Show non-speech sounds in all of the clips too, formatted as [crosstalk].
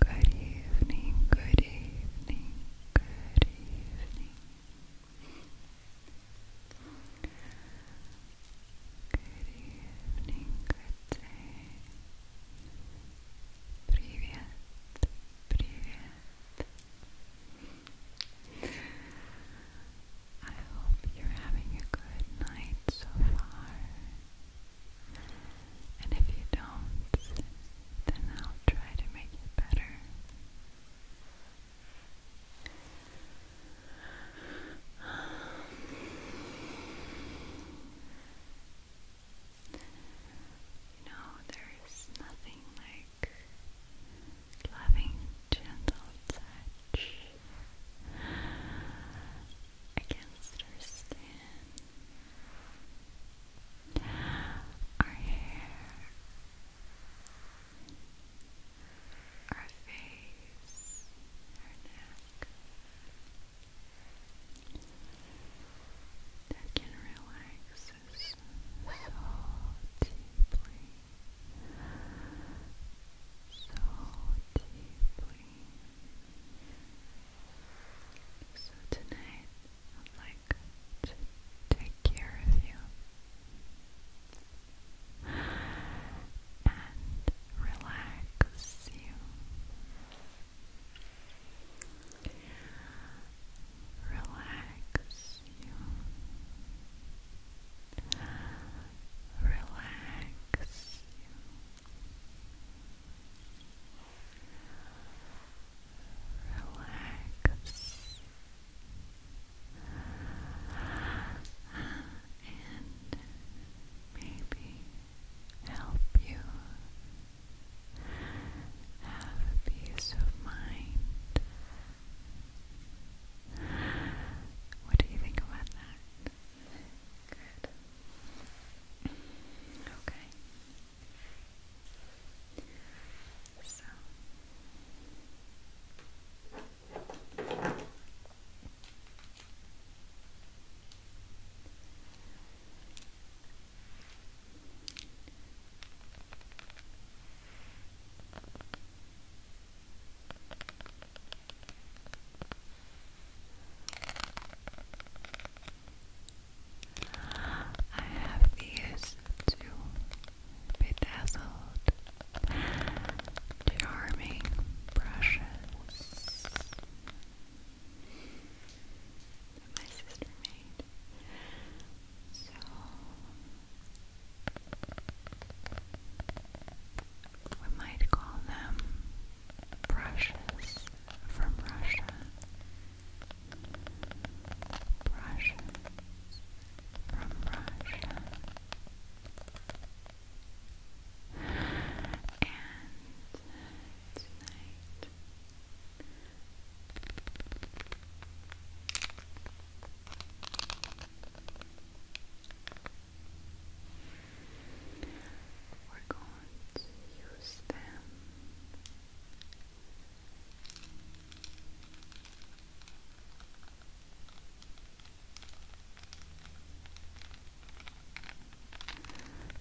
Good evening, good evening, good evening. Good evening, good day. Привет, привет. I hope you're having a good night so far. And if you don't, then I'll try to make it better. You there's nothing like loving, gentle touch against her skin, our hair our face, our neck that can relax so deeply, so deeply. So tonight I'd like to take care of you and relax you. Relax you. Relax you. Relax and and maybe help you have peace of mind. What do you think about that? Okay. So I have these two bedazzled Charming brushes my sister made. So we might call them brushes from Russia. Brushes from Russia. And tonight. We're going to use them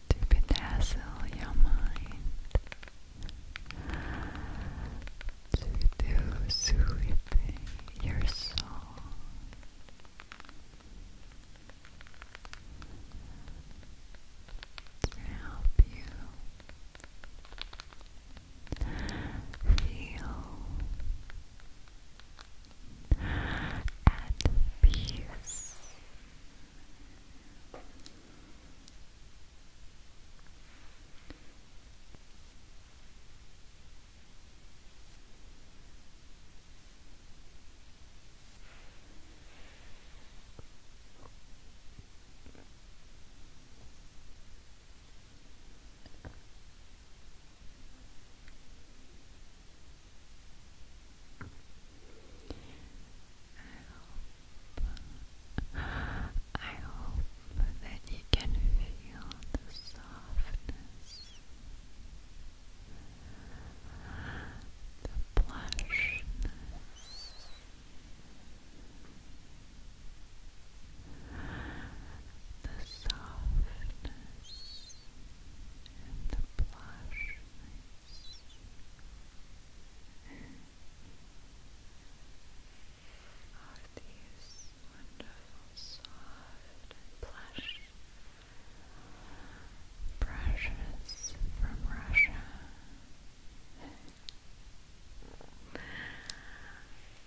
to bedazzle your mind, to do sweeping your soul. To help you feel and peace. I hope, I hope that you can feel the softness, the plushness, the softness and the blush are these wonderful soft and brushes from Russia. [laughs]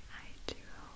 I do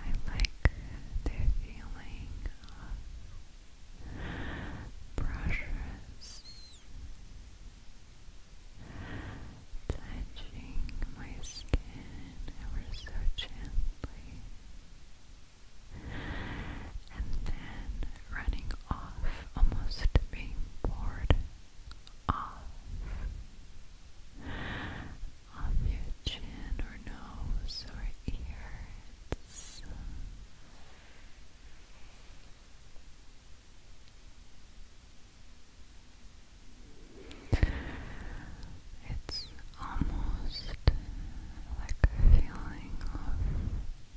I like their feeling of brushes touching my skin ever so gently and then running off, almost being bored off off your chin or nose or ears. It's almost like a feeling of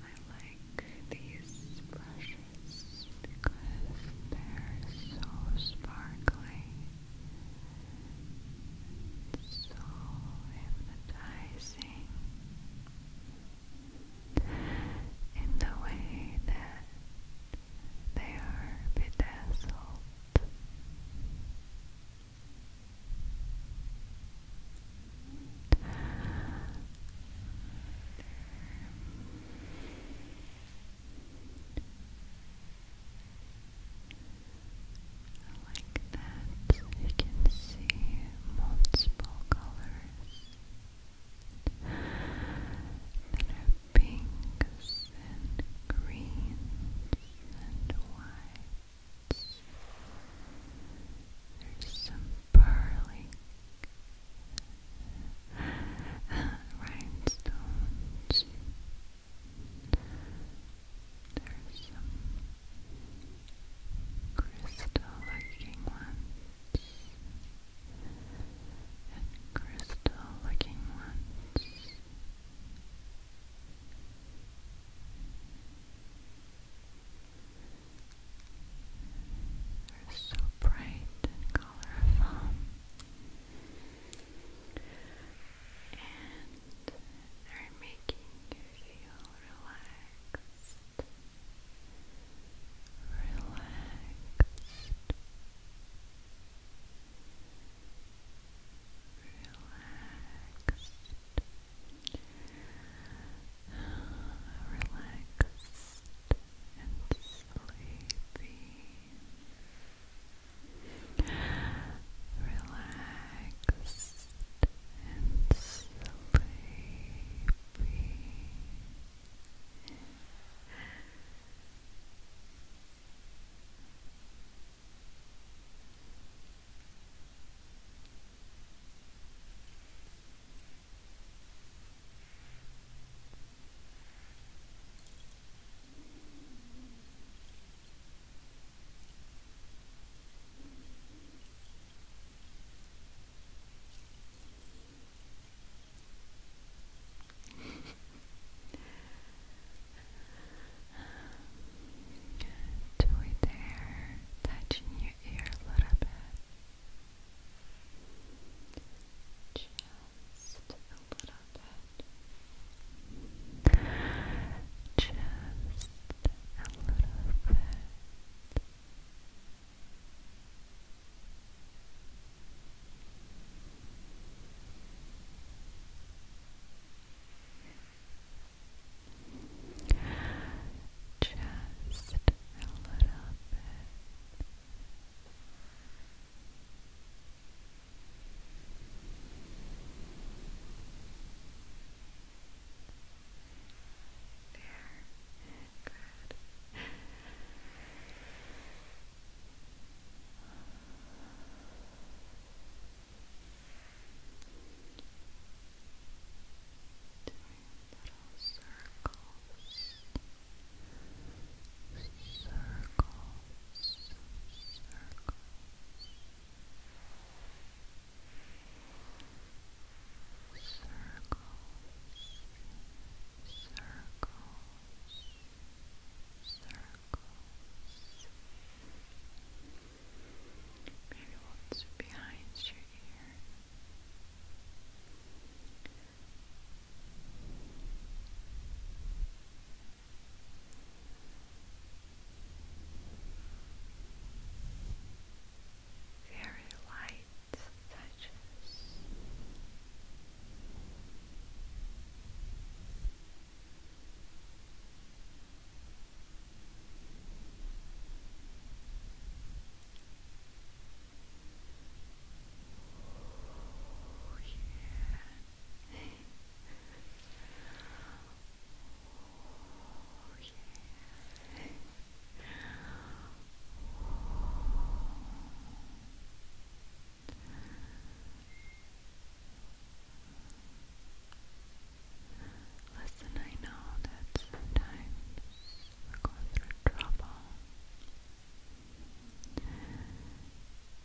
I like these brushes because they're so sparkly so hypnotizing in the way that they are bedazzled. Like that, you can see multiple colors that are pinks and greens and whites. There's some barley, rhinestones. There's some crystal-looking ones and crystal-looking ones. They're so bright and colorful. And they're making you feel relaxed. Relaxed. Relaxed relaxed and sleepy, relaxed and sleepy. Relaxed Joy there, touching you your ear a little bit. Just a little bit. Just a little bit. Just a little bit. There. Good little circles, circles, circles. Circles, circles, circles. Maybe once behind your ear. Very light touches. Oh, yeah. Oh, yeah. Listen, I know that sometimes we're going through trouble.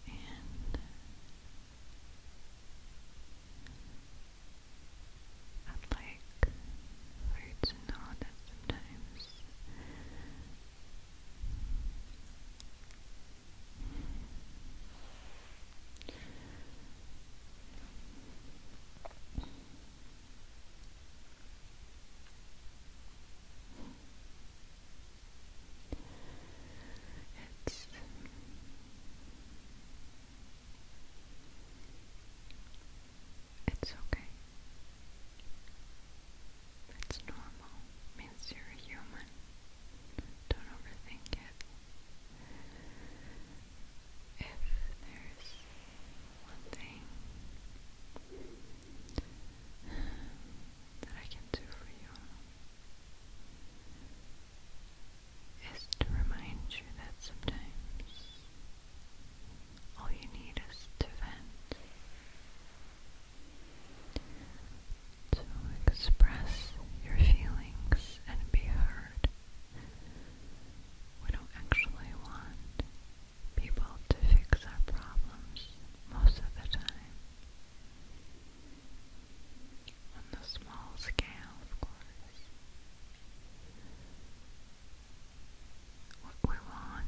And I'd like for you to know that sometimes it's it's okay. It's normal. Means you're a human. Don't overthink it if there's one thing that I can do for you is to remind you that sometimes all you need is to vent, to express your feelings and be heard. We don't actually want people to fix our problems most of the time. On the small scale, of course. What we want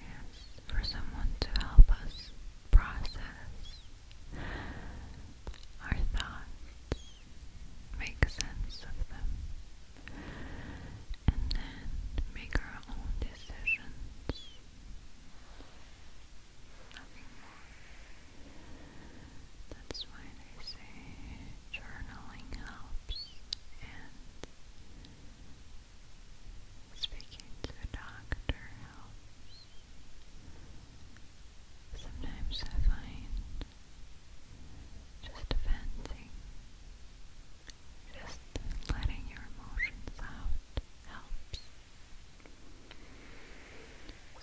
is for someone to help us process our thoughts, make sense of them, and then make our own decisions. That's why they say journaling helps and speaking to a doctor helps. Sometimes I find just venting. Just letting your emotions out helps.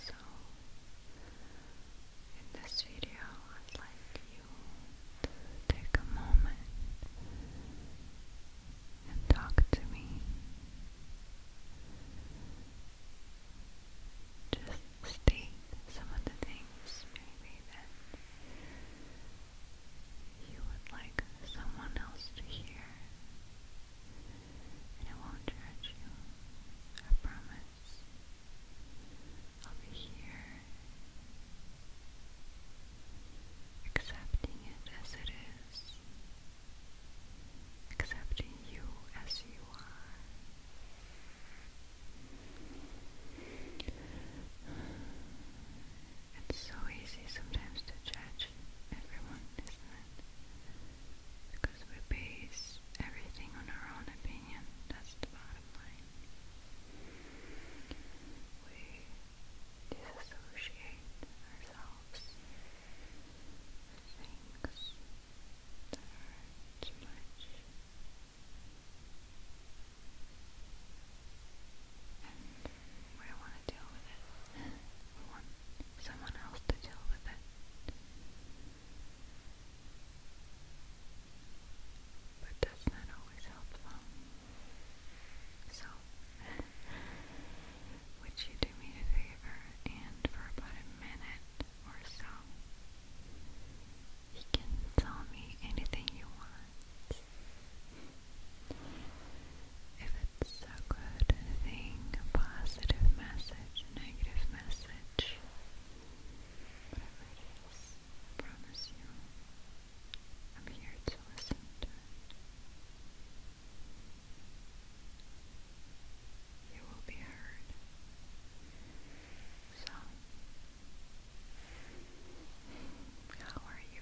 So, in this video, I'd like you to take a moment and talk to me. Just state some of the things maybe that you would like someone else to hear. And I won't judge you. I promise. I'll be here accepting it as it is. Accepting you as you are. It's so easy sometimes to judge everyone, isn't it? Because we base everything on our own opinion. That's the bottom line. We disassociate ourselves with things that are too much. And we want to deal with it. We want someone else to deal with it. But does that always help So, would you do me a favor and for about a minute or so, you can tell me anything you want. If it's a good thing, a positive message, a negative message, whatever it is, promise you, I'm here to listen to it. You will be heard. So, how are you?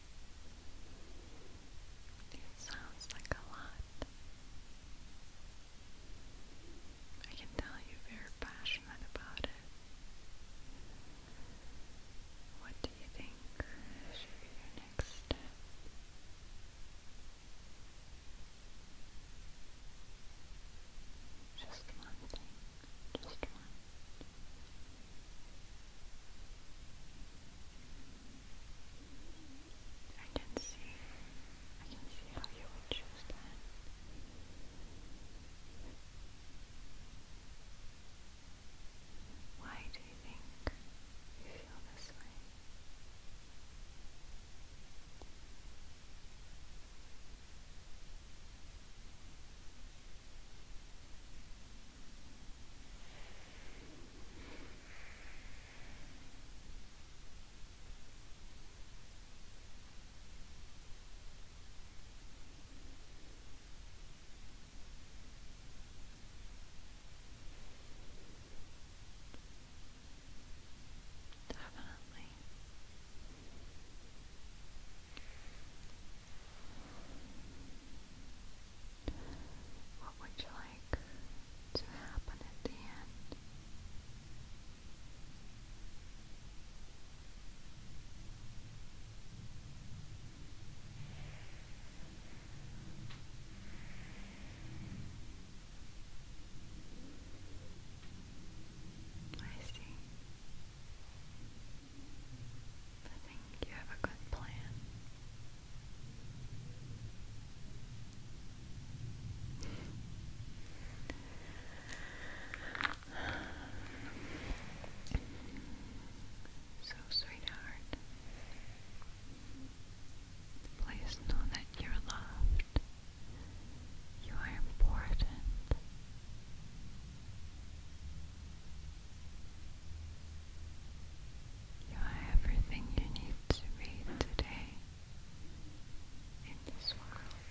It sounds like a lot. I can tell you're passionate about it. What do you think your next Just one thing. Just I can see, I can see how you would choose that. Why do you think you feel this way? Definitely. What would you like to happen at the end? I see. I think you have a good plan. [sighs] So, sweetheart, please know that you're loved. You are important. You are everything you need to be today in this world.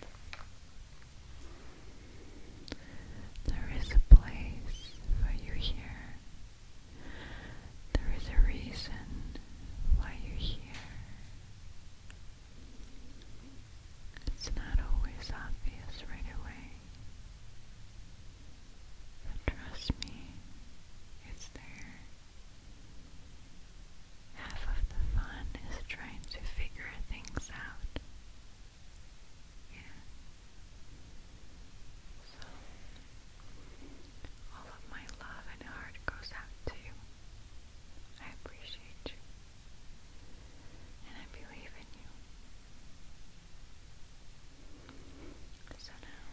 There is a place for you here. There is a reason why you're here. It's not always obvious right away trust me, it's there. Half of the fun is trying to figure things out. Yeah. So, all of my love and heart goes out to you. I appreciate you. And I believe in you. So now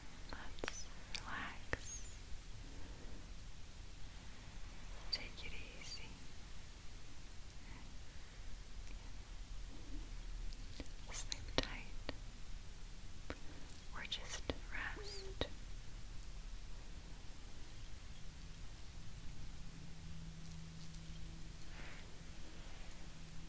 let's relax. Take it easy. Sleep tight. Or just rest.